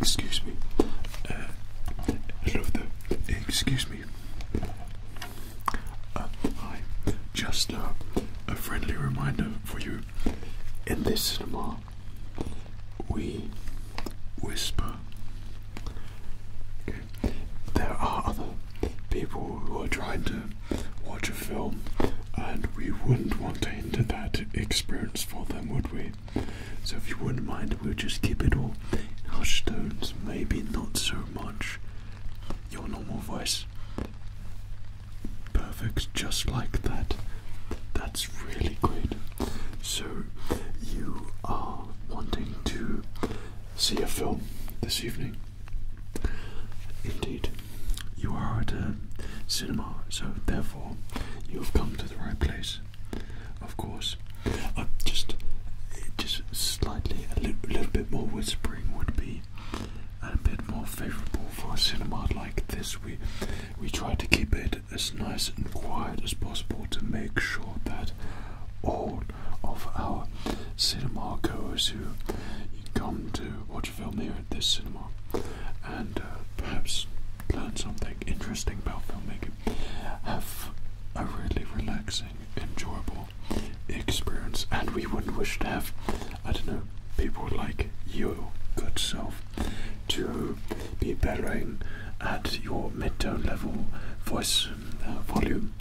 Excuse me. Excuse me. Uh, uh Just uh, a friendly reminder for you. In this cinema, we whisper. There are other people who are trying to watch a film, and we wouldn't want to hinder that experience for them, would we? So, if you wouldn't mind, we'll just keep it all hushed tones, maybe not so much your normal voice. Perfect, just like that. That's really great. So, you are wanting to see a film this evening? Indeed. You are at a cinema, so therefore you've come to the right place. Of course. Uh, just, just slightly, a little bit more whispering would be a bit more favourable for a cinema like this. We we try to keep it as nice and quiet as possible to make sure that all of our cinema goers who come to watch a film here at this cinema and uh, perhaps learn something interesting about filmmaking have a really relaxing, enjoyable experience, and we wouldn't wish to have, I don't know, people like you, good self, to be bearing at your mid-tone level voice uh, volume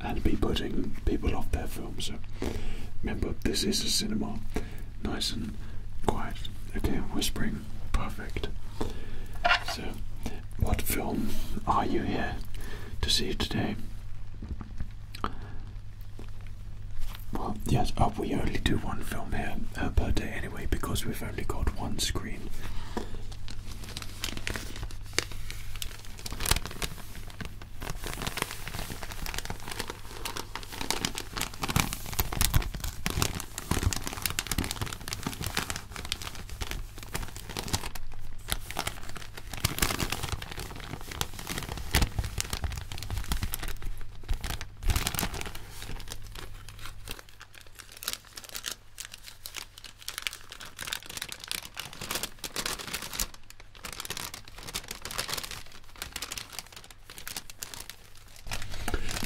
and be putting people off their film. So remember, this is a cinema, nice and quiet. Okay, whispering, perfect. So, what film are you here to see today? Well, yes, oh, we only do one film here uh, per day anyway because we've only got one screen.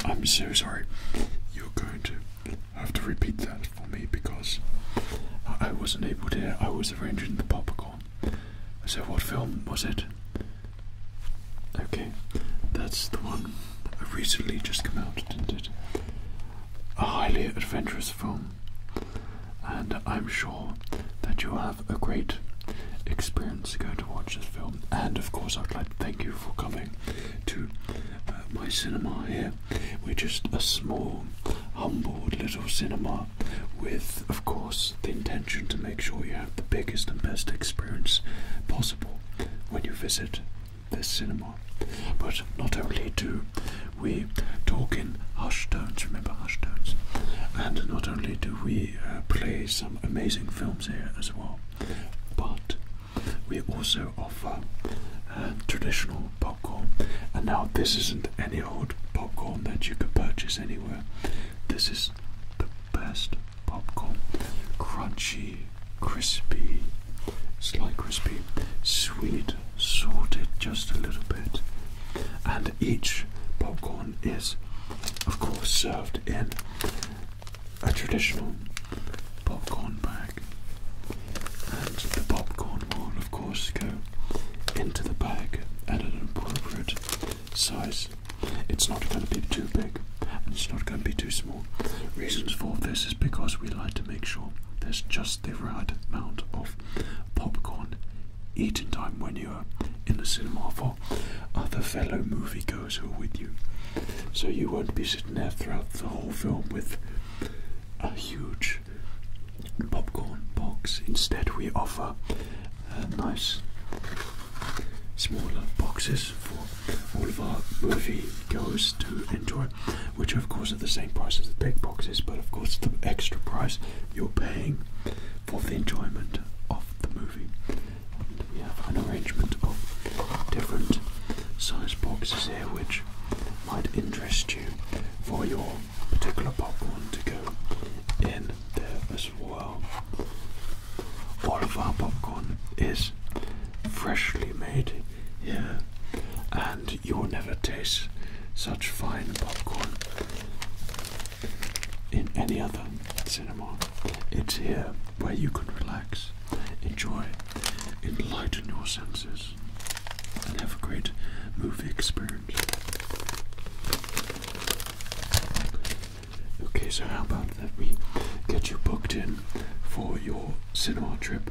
I'm so sorry. You're going to have to repeat that for me because I wasn't able to. I was arranging the popcorn. So, what film was it? Okay, that's the one that recently just come out, didn't it? A highly adventurous film, and I'm sure that you'll have a great experience going to watch this film. And of course, I'd like to thank you for coming to uh, my cinema here. We're just a small, humble little cinema with, of course, the intention to make sure you have the biggest and best experience possible when you visit this cinema. But not only do we talk in hush tones, remember hush tones, and not only do we uh, play some amazing films here as well, but we also offer uh, traditional popcorn. And now, this isn't any old popcorn that you can purchase anywhere, this is the best popcorn. Crunchy, crispy, slightly crispy, sweet, salted just a little bit. And each popcorn is, of course, served in a traditional popcorn bag. And the popcorn will, of course, go into the bag at an appropriate size. It's not going to be too big and it's not going to be too small. Reasons for this is because we like to make sure there's just the right amount of popcorn eating time when you are in the cinema for other fellow moviegoers who are with you. So you won't be sitting there throughout the whole film with a huge popcorn box. Instead, we offer nice smaller boxes for all of our moviegoers to enjoy, which of course are the same price as the big boxes, but of course the extra price you're paying for the enjoyment of the movie. we have an arrangement of different size boxes here which might interest you for your particular popcorn to go in there as well all of our popcorn is freshly made here, and you will never taste such fine popcorn in any other cinema. It's here where you can relax, enjoy, enlighten your senses, and have a great movie experience. Okay, so how about that we get you booked in for your cinema trip?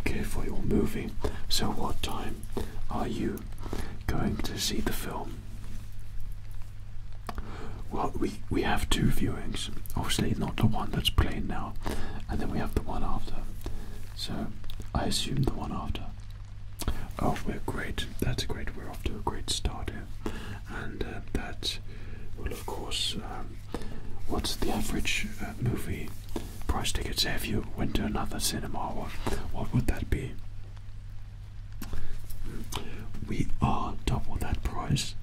Okay, for your movie. So, what time are you going to see the film? Well, we, we have two viewings. Obviously, not the one that's playing now, and then we have the one after. So, I assume the one after. Oh, we're great. That's great. We're off to a great start here, and uh, that will, of course, um, what's the average uh, movie price tickets? If you went to another cinema, what, what would that be? We are double that price,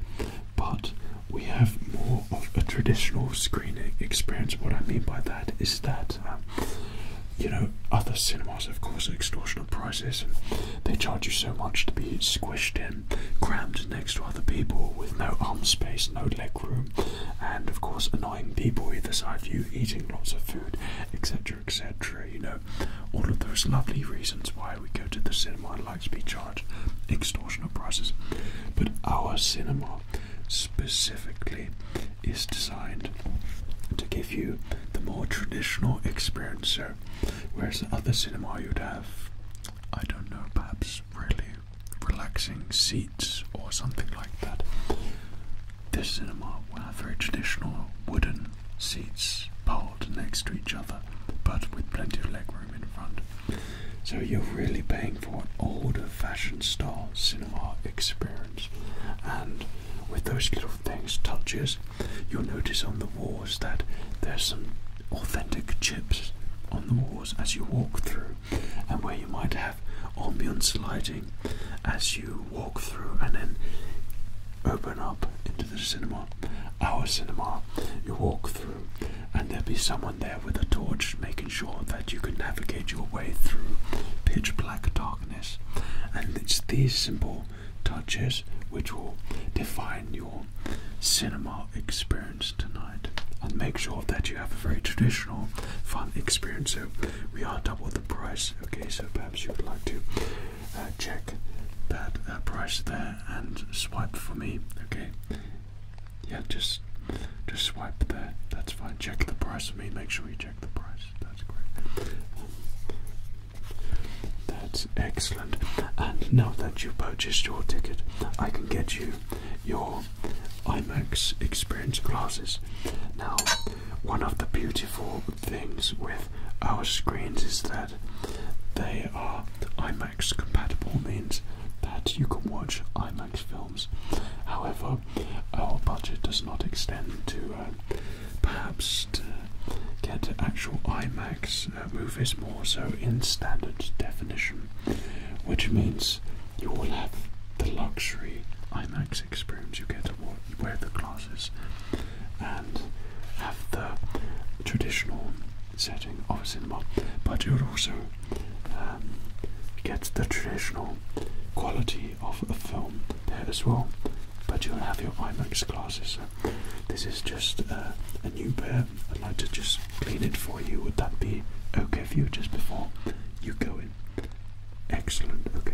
but we have more of a traditional screening experience. What I mean by that is that. Um, you know, other cinemas, of course, are extortionate prices, and they charge you so much to be squished in, crammed next to other people with no arm space, no leg room, and of course, annoying people either side of you, eating lots of food, etc., etc. You know, all of those lovely reasons why we go to the cinema and like to be charged extortionate prices. But our cinema specifically is designed to give you the more traditional experience. So, whereas other cinema you'd have, I don't know, perhaps really relaxing seats or something like that. This cinema will have very traditional wooden seats piled next to each other, but with plenty of legroom in front. So you're really paying for an older fashioned style cinema experience. And with those little things, touches, you'll notice on the walls that there's some authentic chips on the walls as you walk through, and where you might have ambience lighting as you walk through and then open up into the cinema, our cinema, you walk through, and there'll be someone there with a torch making sure that you can navigate your way through pitch black darkness. And it's these simple touches which will define your cinema experience tonight. And make sure that you have a very traditional, fun experience. So we are double the price. Okay, so perhaps you would like to uh, check that uh, price there and swipe for me. Okay, yeah, just just swipe there. That's fine. Check the price for me. Make sure you that's excellent. And now that you've purchased your ticket, I can get you your IMAX experience glasses. Now, one of the beautiful things with our screens is that they are IMAX compatible, means that you can watch IMAX films. However, our budget does not extend to uh, perhaps to get actual IMAX uh, movies more so in standard definition, which means you will have the luxury IMAX experience you get to wear the glasses and have the traditional setting of a cinema, but you also um, get the traditional quality of a film there as well, but you will have your IMAX glasses. this is just uh, a new pair. I'd like to just clean it for you. Would that be okay for you just before you go in? Excellent. Okay.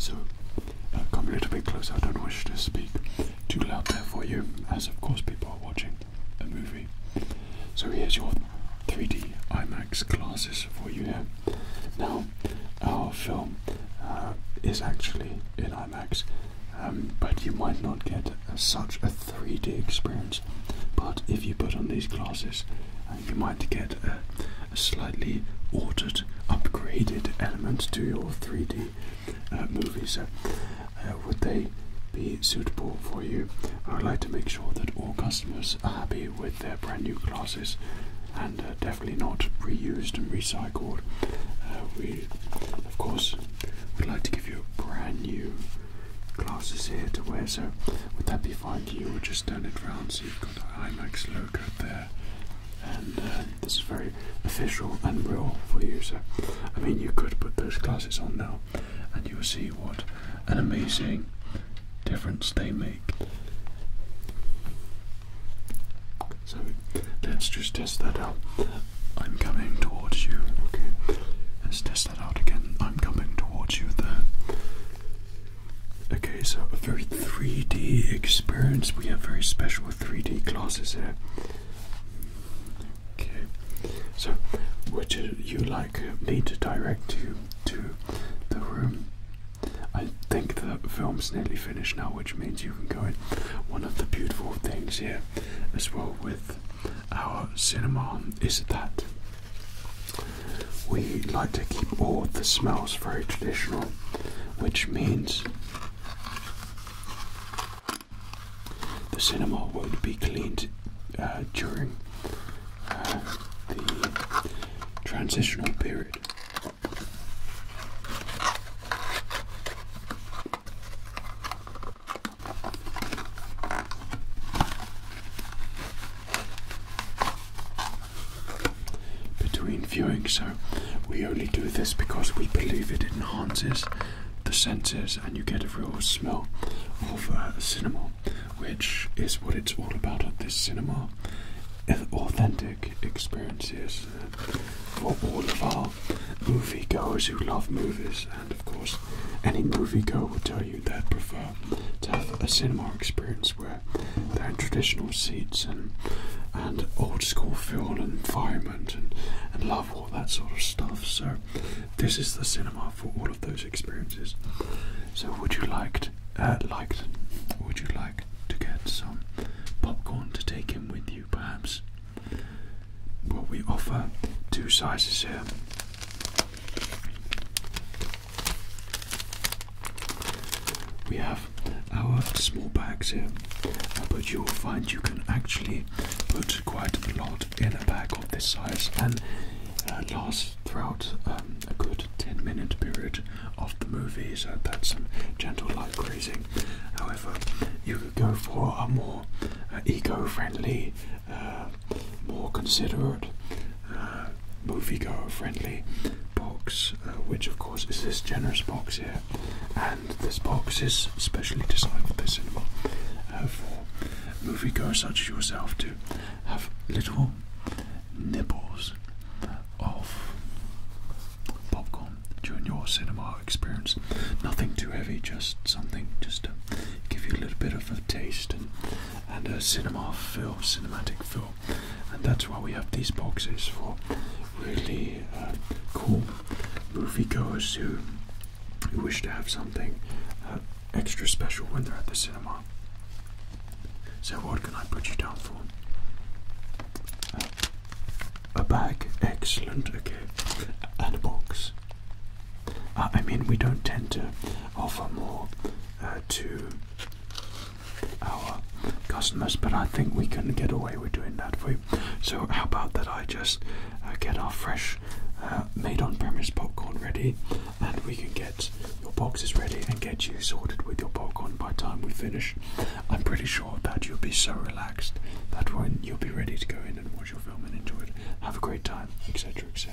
So, uh, come a little bit closer. I don't wish to speak too loud there for you, as of course people are watching a movie. So here's your 3D IMAX glasses for you Now, our film uh, is actually in IMAX, um, but you might not get such a 3D experience. But if you put on these glasses, uh, you might get a slightly altered, upgraded element to your 3D uh, movies. Uh, uh, would they be suitable for you? I would like to make sure that all customers are happy with their brand new glasses and definitely not reused and recycled. we, of course, would like to give you brand new glasses here to wear, so would that be fine for you? we just turn it round so you've got the IMAX logo there and this is very official and real for you. So, I mean, you could put those glasses on now, and you will see what an amazing difference they make. So, let's just test that out. I'm coming towards you. Okay. Let's test that out again. I'm coming towards you there. Okay, so a very 3D experience. We have very special 3D glasses here. Okay, so would you like me to direct you to the room? I think the film's nearly finished now, which means you can go in. One of the beautiful things here, as well, with our cinema is that we like to keep all the smells very traditional, which means the cinema would be cleaned uh, during uh, the transitional period. between viewings we only do this because we believe it enhances the senses and you get a real smell of uh, cinema, which is what it's all about at this cinema. Authentic experiences uh, for all of our moviegoers who love movies, and of course, any moviegoer will tell you they'd prefer to have a cinema experience where they're in traditional seats and and old school film environment and, love all that sort of stuff. So, this is the cinema for all of those experiences. So, would you like to, uh, liked? Would you like to get some popcorn to take in with you, perhaps? Well, we offer two sizes here. We have our small bags here, but you will find you can actually put quite a lot in a bag of this size and uh, last throughout um, a good 10 minute period of the movie. So that's some gentle light grazing. However, you could go for a more uh, eco friendly, uh, more considerate. movie goer friendly box, which of course is this generous box here, and this box is specially designed for the cinema, for uh, moviegoers such as yourself to have little nibbles uh, of popcorn during your cinema experience. Nothing too heavy, just something just to give you a little bit of a taste and, and a cinema feel, cinematic feel. And that's why we have these boxes for really uh, cool moviegoers who, who wish to have something uh, extra special when they're at the cinema. So, what can I put you down for? Uh, a bag, excellent, okay, and a box. Uh, I mean, we don't tend to offer more to our customers, but I think we can get away with doing that so, how about that I just uh, get our fresh uh, made on premise popcorn ready and we can get your boxes ready and get you sorted with your popcorn by the time we finish. I'm pretty sure that you'll be so relaxed that when you'll be ready to go in and watch your film and enjoy it, have a great time, etc. etc.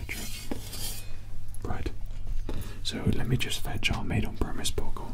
Right, so let me just fetch our made on premise popcorn.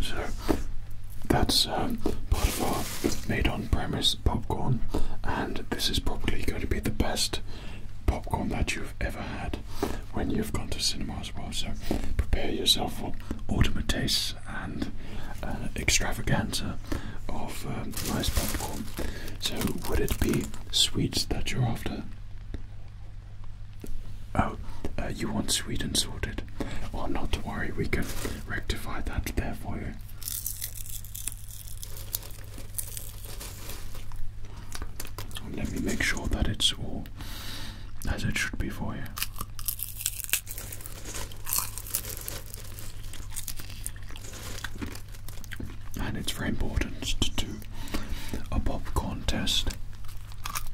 So that's um, part of our made on premise popcorn, and this is probably going to be the best popcorn that you've ever had when you've gone to cinema as well. So prepare yourself for ultimate tastes and uh, extravaganza of um, nice popcorn. So, would it be sweets that you're after? Oh, uh, you want Sweden sorted? Well, not to worry, we can rectify that there for you. Let me make sure that it's all as it should be for you. And it's very important to do a popcorn test.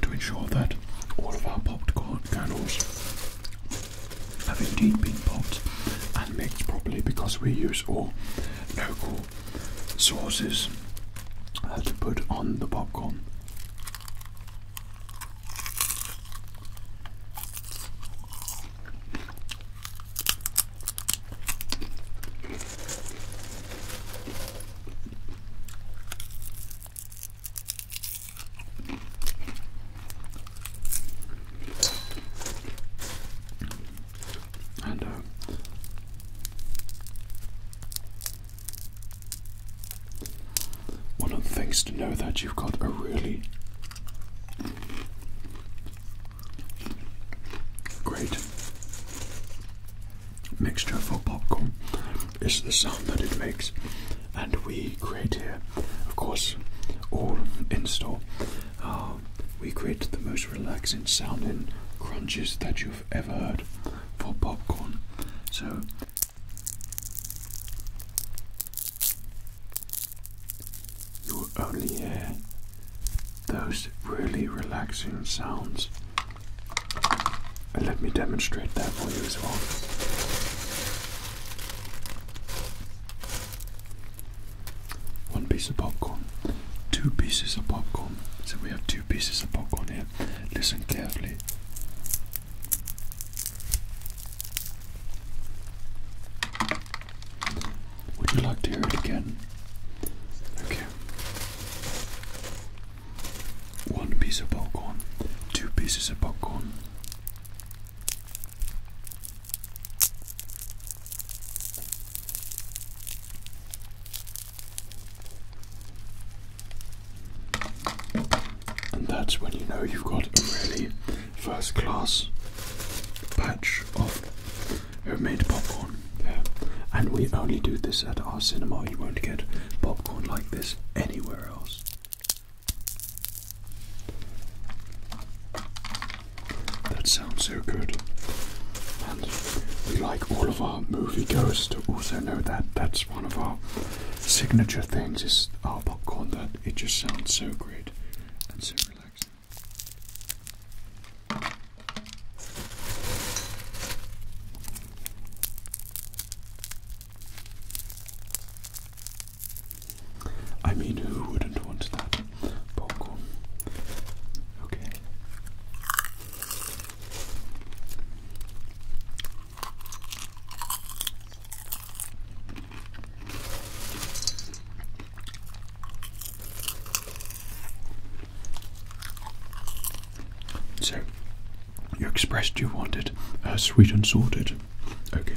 to ensure that all of our popcorn kernels have indeed been popped and mixed properly because we use all local sauces uh, to put on the popcorn. And uh, one of the things to know that you've got a really great mixture for popcorn is the sound that it makes, and we create here, of course, all in store. Uh, we create the most relaxing sounding crunches that you've ever heard for popcorn. So. You'll only hear those really relaxing sounds let me demonstrate that for you as well. One piece of popcorn, two pieces of popcorn. So we have two pieces of popcorn here. Listen carefully. Would you like to hear it again? Okay. One piece of popcorn, two pieces of popcorn. And that's when you know you've got a really first class batch of have made popcorn. Yeah. And we only do this at our cinema. You won't get popcorn like this anywhere else. That sounds so good. And we like all of our movie goers to also know that that's one of our signature things is our popcorn that it just sounds so great and so relaxing. I mean, who wouldn't want that popcorn? Okay. So, you expressed you wanted uh, sweet and sorted. Okay.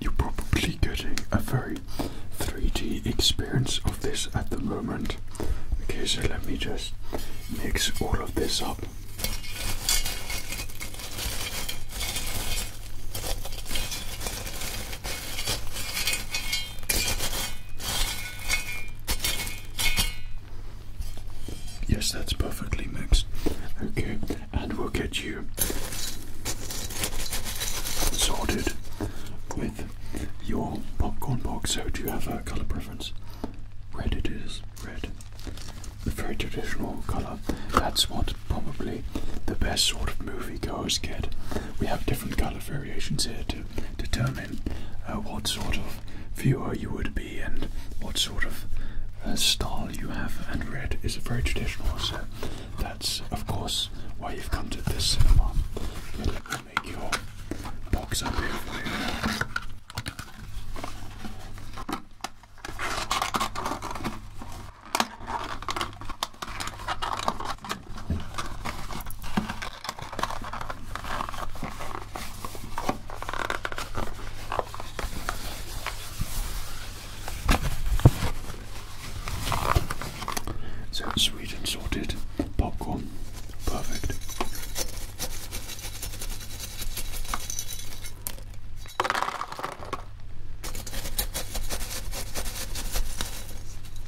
You're probably getting a very 3D experience of this at the moment. Okay, so let me just mix all of this up. Yes, that's perfectly mixed. Okay, and we'll get you sorted with your popcorn box. So, do you have a color preference? Red it is, red. The very traditional color. That's what probably the best sort of movie goers get. We have different color variations here too determine uh, what sort of viewer you would be and what sort of uh, style you have. And red is very traditional, so that's of course why you've come to this cinema. But let make your box up so it's sweet and salted popcorn, perfect.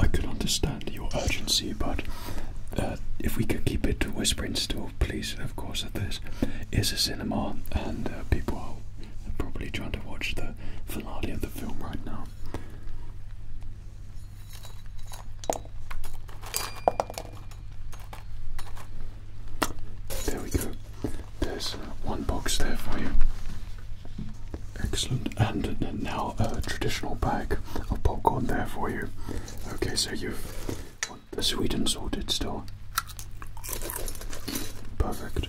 I could understand your urgency, but uh, if we can keep it to whispering still, please, of course, this is a cinema and uh, people are probably trying to watch the finale of the film right now. There we go. There's uh, one box there for you. Excellent. And, and now a traditional bag of popcorn there for you. Okay, so you've the sweet and salted still. Perfect.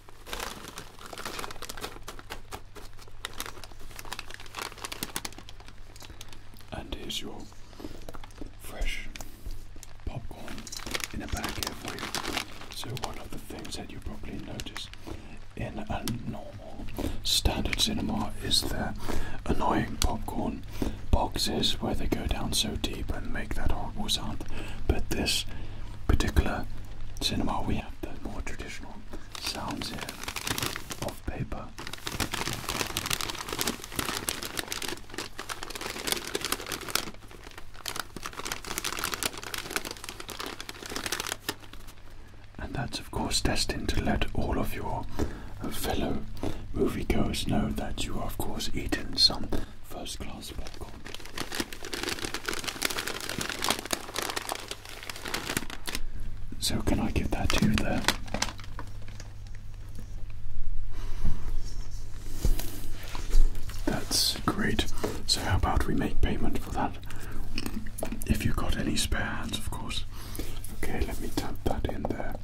And here's your fresh popcorn in a bag here for So, one of the things that you probably notice in a normal standard cinema is their annoying popcorn boxes where they go down so deep and make that horrible sound. But this particular cinema we the more traditional sounds here of paper. And that's, of course, destined to let all of your fellow moviegoers know that you are, of course, eating some first class. So, can I give that to you there? That's great. So, how about we make payment for that? If you've got any spare hands, of course. Okay, let me tap that in there.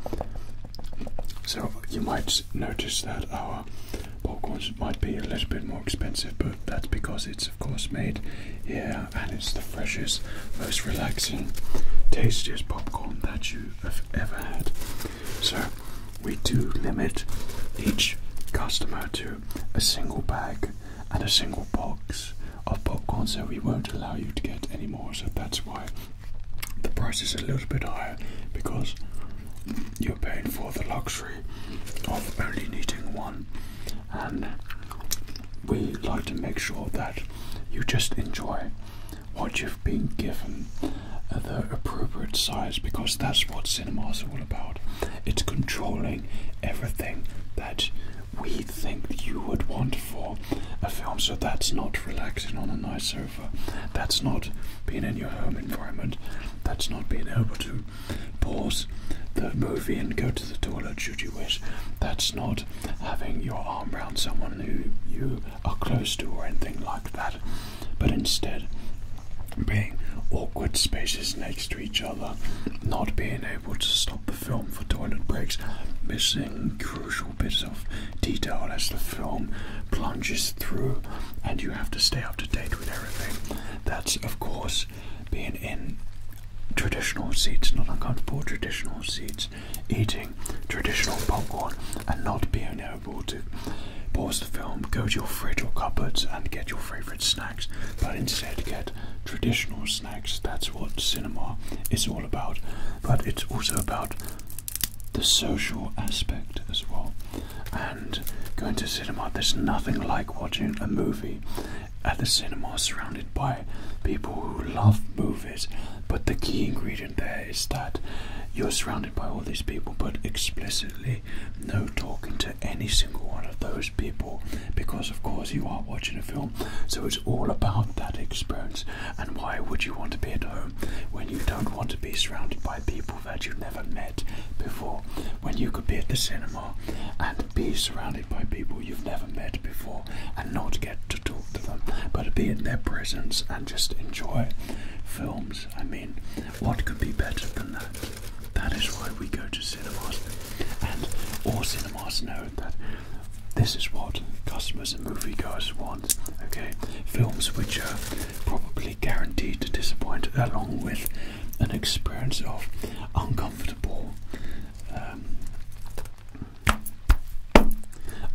So, you might notice that our our popcorns might be a little bit more expensive, but that's because it's of course made here and it's the freshest, most relaxing, tastiest popcorn that you have ever had. So we do limit each customer to a single bag and a single box of popcorn, so we won't allow you to get any more. So that's why the price is a little bit higher because you're paying for the luxury of only needing one, and we like to make sure that you just enjoy what you've been given uh, the appropriate size because that's what cinemas is all about. It's controlling everything that we think you would want for a film. So that's not relaxing on a nice sofa. That's not being in your home environment. That's not being able to pause the movie and go to the toilet should you wish. That's not having your arm around someone who you are close to or anything like that, but instead being awkward spaces next to each other, not being able to stop the film for toilet breaks, missing crucial bits of detail as the film plunges through and you have to stay up to date with everything. That's, of course, being in traditional seats, not uncomfortable traditional seats, eating traditional popcorn, and not being able to pause the film, go to your fridge or cupboards, and get your favourite snacks, but instead get traditional snacks. That's what cinema is all about, but it's also about the social aspect as well and going to cinema, there's nothing like watching a movie at the cinema surrounded by people who love movies. But the key ingredient there is that you're surrounded by all these people, but explicitly no talking to any single one of those people because, of course, you are watching a film. So it's all about that experience. And why would you want to be at home when you don't want to be surrounded by people? that you've never met before. When you could be at the cinema and be surrounded by people you've never met before and not get to talk to them, but be in their presence and just enjoy films. I mean, what could be better than that? That is why we go to cinemas. And all cinemas know that this is what customers and moviegoers want. Okay, films which are probably guaranteed to disappoint, along with an experience of uncomfortable, um,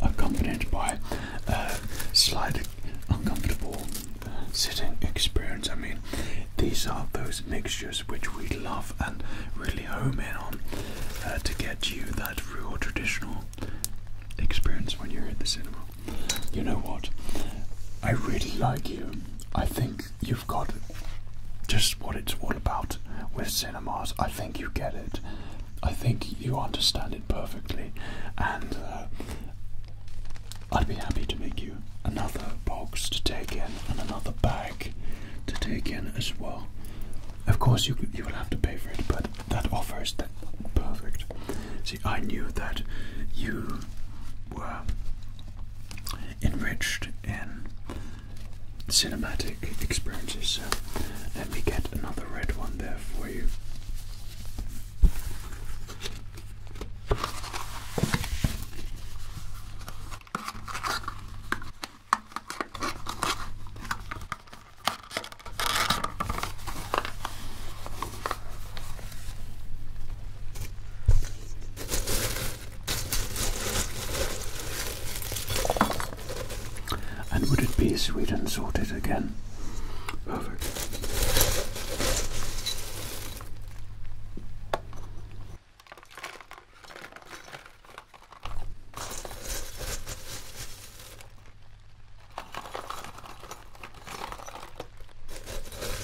accompanied by a uh, slight uncomfortable sitting experience. I mean, these are those mixtures which we love and really home in on uh, to get you that real traditional experience when you're at the cinema. You know what? I really like you. I think you've got just what it's all about with cinemas. I think you get it. I think you understand it perfectly. And uh, I'd be happy to make you another box to take in and another bag to take in as well. Of course, you you will have to pay for it, but that offer is perfect. I knew that you were enriched in cinematic experiences, so let me get another red one there for you. And would it be sweet and salted again? Perfect.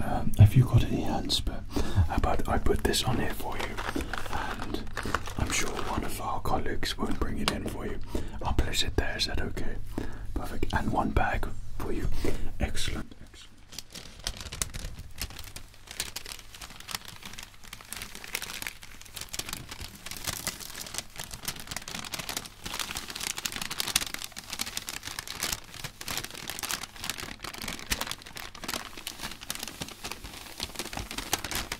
Um, have you got any hands, but how about I put this on here for you? and I'm sure one of our colleagues will not bring it in for you. I'll place it there, is that okay? Perfect. And one bag for you. Excellent, excellent.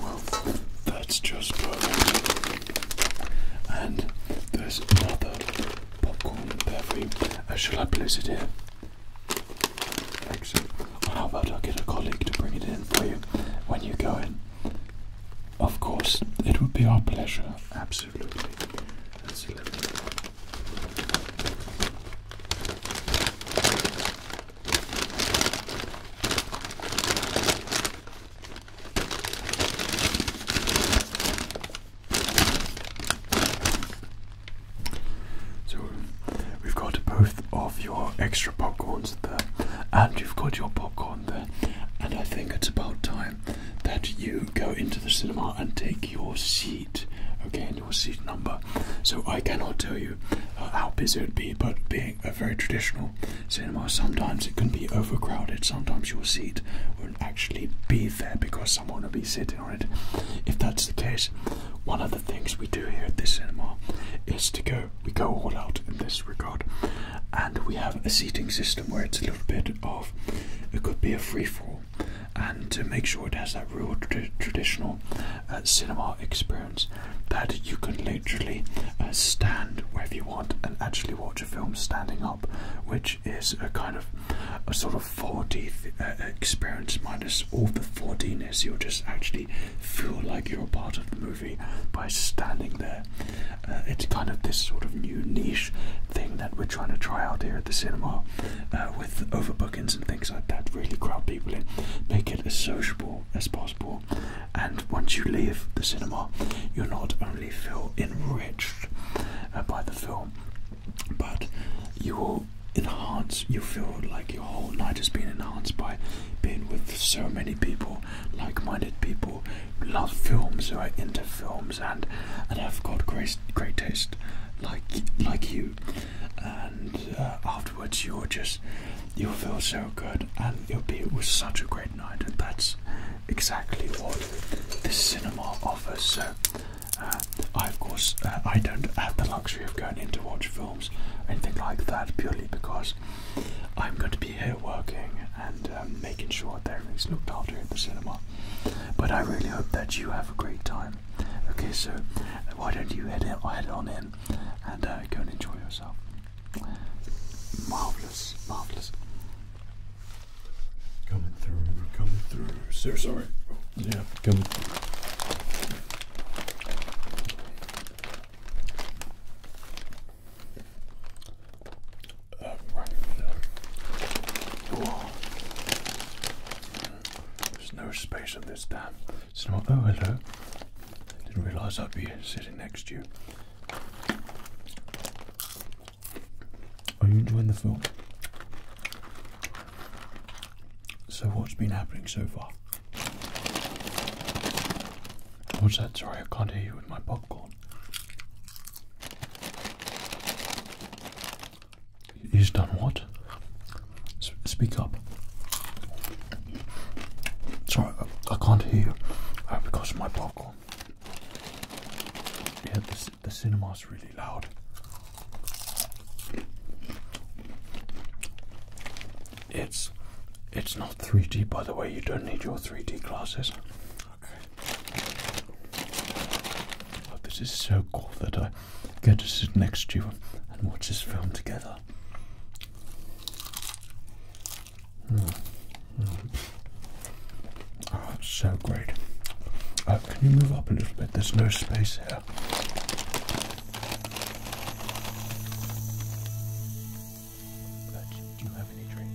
Well, that's just perfect. And there's another popcorn perfume. Oh, shall I place it here? Excellent. Well, how about I get a colleague to bring it in for you when you go in? Of course, it would be our pleasure. Absolutely. That's so we've got both of your extra popcorns there, and you've got your popcorn there. And I think it's about time that you go into the cinema and take your seat, okay, your seat number. So I cannot tell you uh, how busy it would be, but being a very traditional cinema. Sometimes it can be overcrowded. Sometimes your seat won't actually be there because someone will be sitting on it. If that's the case, one of the things we do here at this cinema is to go, we go all out in this regard. And we have a seating system where it's a little bit of, it could be a free fall. And to make sure it has that real traditional uh, cinema experience that you can literally uh, stand wherever you want and actually watch watch a film standing up, which is a kind of a sort of 4D uh, experience minus all the 4Dness. You'll just actually feel like you're a part of the movie by standing there. Uh, it's kind of this sort of new niche thing that we're trying to try out here at the cinema uh, with overbookings and things like that. Really crowd people in, make it as sociable as possible. And once you leave the cinema, you're not only generally feel enriched uh, by the film, but you will enhance, you feel like your whole night has been enhanced by being with so many people, like minded people love films, who are into films, and, and have got great, great taste like like you and uh, afterwards you'll just you feel so good and it'll be it was such a great night and that's exactly what the cinema offers. So, uh, I of course uh, I don't have the luxury of going in to watch films anything like that purely because I'm going to be here working and um, making sure that everything's looked after in the cinema. But I really hope that you have a great time. Okay, so why don't you head, in, head on in and uh, go and enjoy yourself? Marvelous, marvelous. Coming through, coming through. Sir, sorry. Yeah, coming uh, There's no space on this time. It's not. Oh, hello. Didn't realise I'd be sitting next to you. Are you enjoying the film? So, what's been happening so far? What's that? Sorry, I can't hear you with my popcorn. He's done what? speak up. Sorry, I, can't hear you because of my popcorn. Yeah, the, the cinema's really loud. It's it's not 3D by the way, you don't need your 3D glasses. Okay. this is so cool that I get to sit next to you and watch this film together. Mm. Oh, it's so great. Uh, can you move up a little bit? There's no space here. do you have any drink?